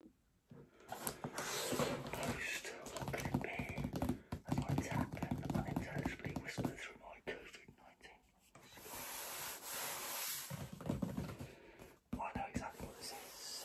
Most what could it be? As I tap and unintelligibly whisper through my COVID nineteen. I know exactly what this is.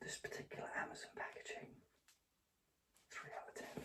This particular Amazon packaging, three out of ten.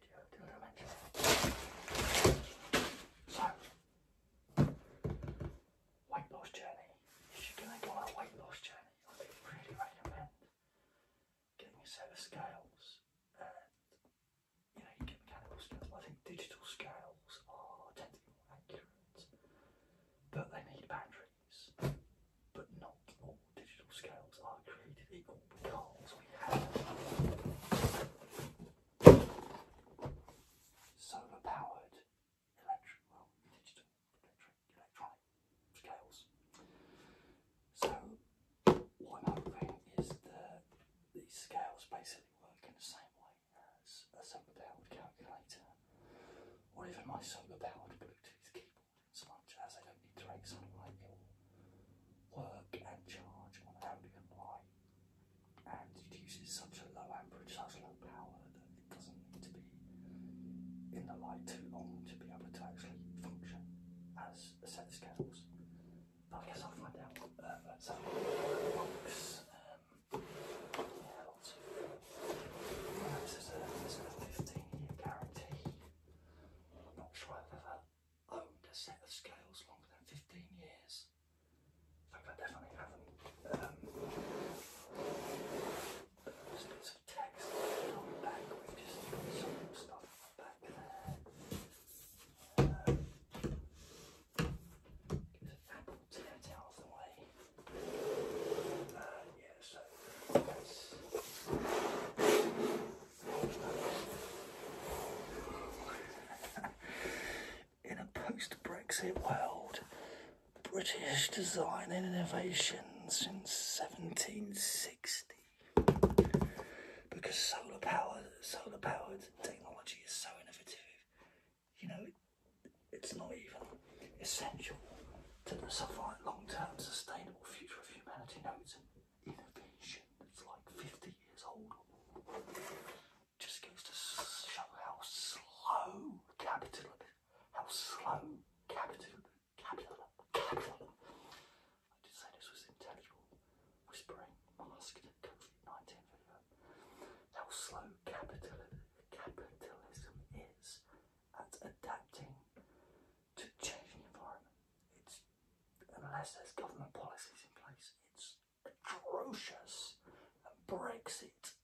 So, weight loss journey. If you're going go on a weight loss journey, I would really recommend getting a set of scales. And, you know, you get mechanical scales. I think digital scales are tend to be more accurate, but they need batteries. But not all digital scales are created equal because we have solar powered digital electric, electronic scales. So, what I'm hoping is that these scales basically work in the same way as a solar powered calculator or even my solar powered Bluetooth keyboard, so much as I don't need to direct sunlight, it work and charge on ambient light, and it uses such a low amperage, such low power that it doesn't need to be in the light too long to be able to actually function as a set of scales. But I guess I'll find out what uh, uh, um, lots of. Uh, this is a, 15 year guarantee. not sure I've ever owned a set of scales longer than 15 years. I definitely haven't. Um, there's of text on back, which is some stuff back there. Uh, get an apple tent out of the In a post Brexit world, British design and innovation since 1760. Because solar power, solar powered technology is so innovative, you know, it's not even essential to the long term sustainable future of humanity. No, innovation that's like 50 years old just goes to show how slow capital how slow capital capital capital I did say this was intelligible whispering masked covid how slow capital capitalism is at adapting to change the environment. It's unless there's government policies in place, it's atrocious. Brexit,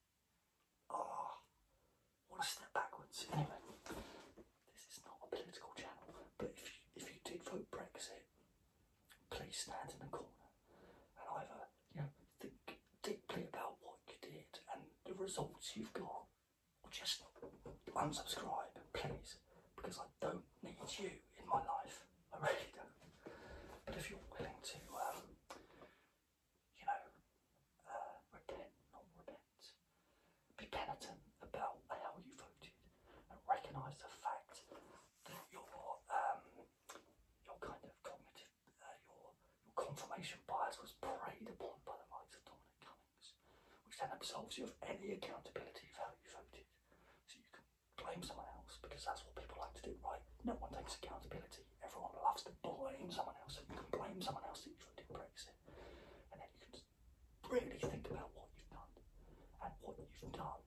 ah, oh, what a step backwards. Anyway, this is not a political channel, but if you, if you did vote Brexit, please stand in the corner and either you know think deeply about what you did and the results you've got, just unsubscribe, please, because I don't need you in my life. I really don't. But if you're willing to, um, you know, uh, repent, not repent, be penitent about how you voted and recognise the fact that your, um, your kind of cognitive, uh, your, confirmation bias was preyed upon by the likes of Donald which then absolves you of any accountability for how you voted. So you can blame someone else because that's what people like to do, right? No one takes accountability. Everyone loves to blame someone else. And you can blame someone else that you voted Brexit. And then you can really think about what you've done and what you've done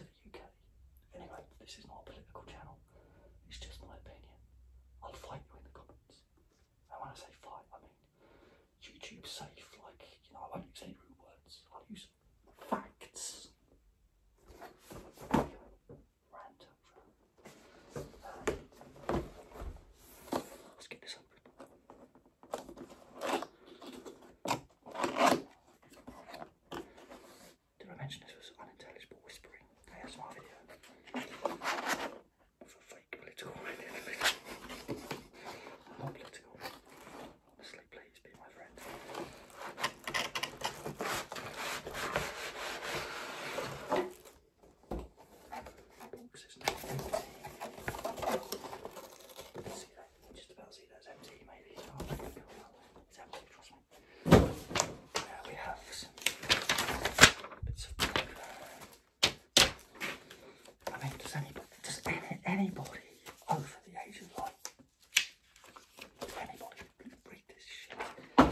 to the UK. Anyway, this is not a political channel. It's just my opinion. I'll fight you in the comments. And when I say fight, I mean YouTube safe, like, you know, I won't use any rude words, I'll use facts. let's get this open. Did I mention this was unintelligible whispering? Hey, that's my video fake political in the middle. I'm not political. please be my friend. Boxes now. See that? Just about see that's empty. Maybe oh, it's empty. Trust me. Now we have some bits of I mean, does anybody, does any, anybody over the age of like anybody read this shit? Uh,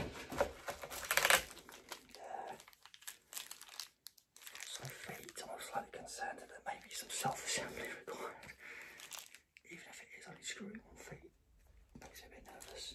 so feet, I'm slightly concerned that there some self-assembly required. Even if it is only screwing on feet, makes me a bit nervous.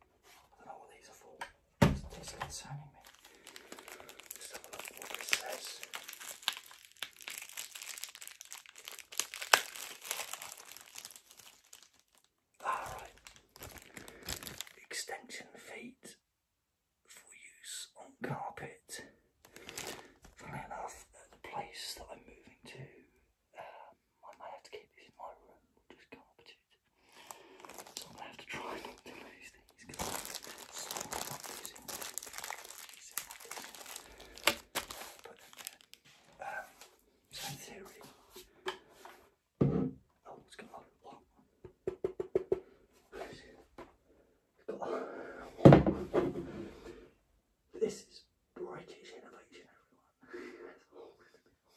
I don't know what these are for. It's concerning me. let have a look what this says. Alright. Ah, Extension feet for use on carpet. Funnily enough, the place that I'm moving to I might have to keep these in my room, I just can up to it. So I'm going to have to try not to lose these because I'm sorry about losing them. But then, um, so in theory, oh, it's got This is British innovation, everyone.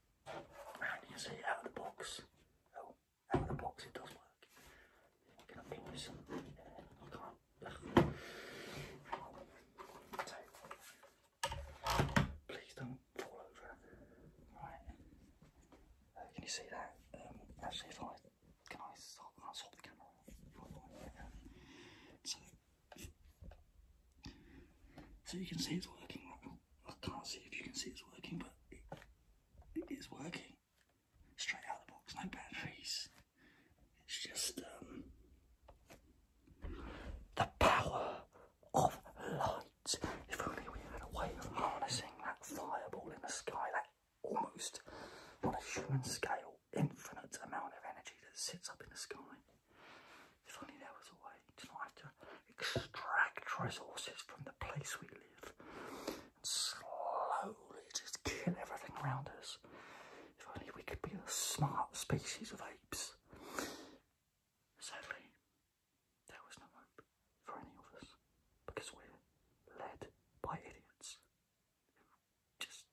And you see out of the box, oh, out of the box it does work. can I can't, ugh. please don't fall over. Right, uh, can you see that? Um, actually, if I, can I, can I swap the camera? So you can see it's working. I can't see if you can see it's working, but it is working. Straight out of the box, no batteries. It's just um, the power of light. If only we had a way of harnessing that fireball in the sky, that almost on a human scale, infinite amount of energy that sits up in the sky. If only there was a way to not have to extract resources from the place we live and slowly just kill everything around us. If only we could be a smart species of apes. Sadly, there was no hope for any of us because we're led by idiots. Just.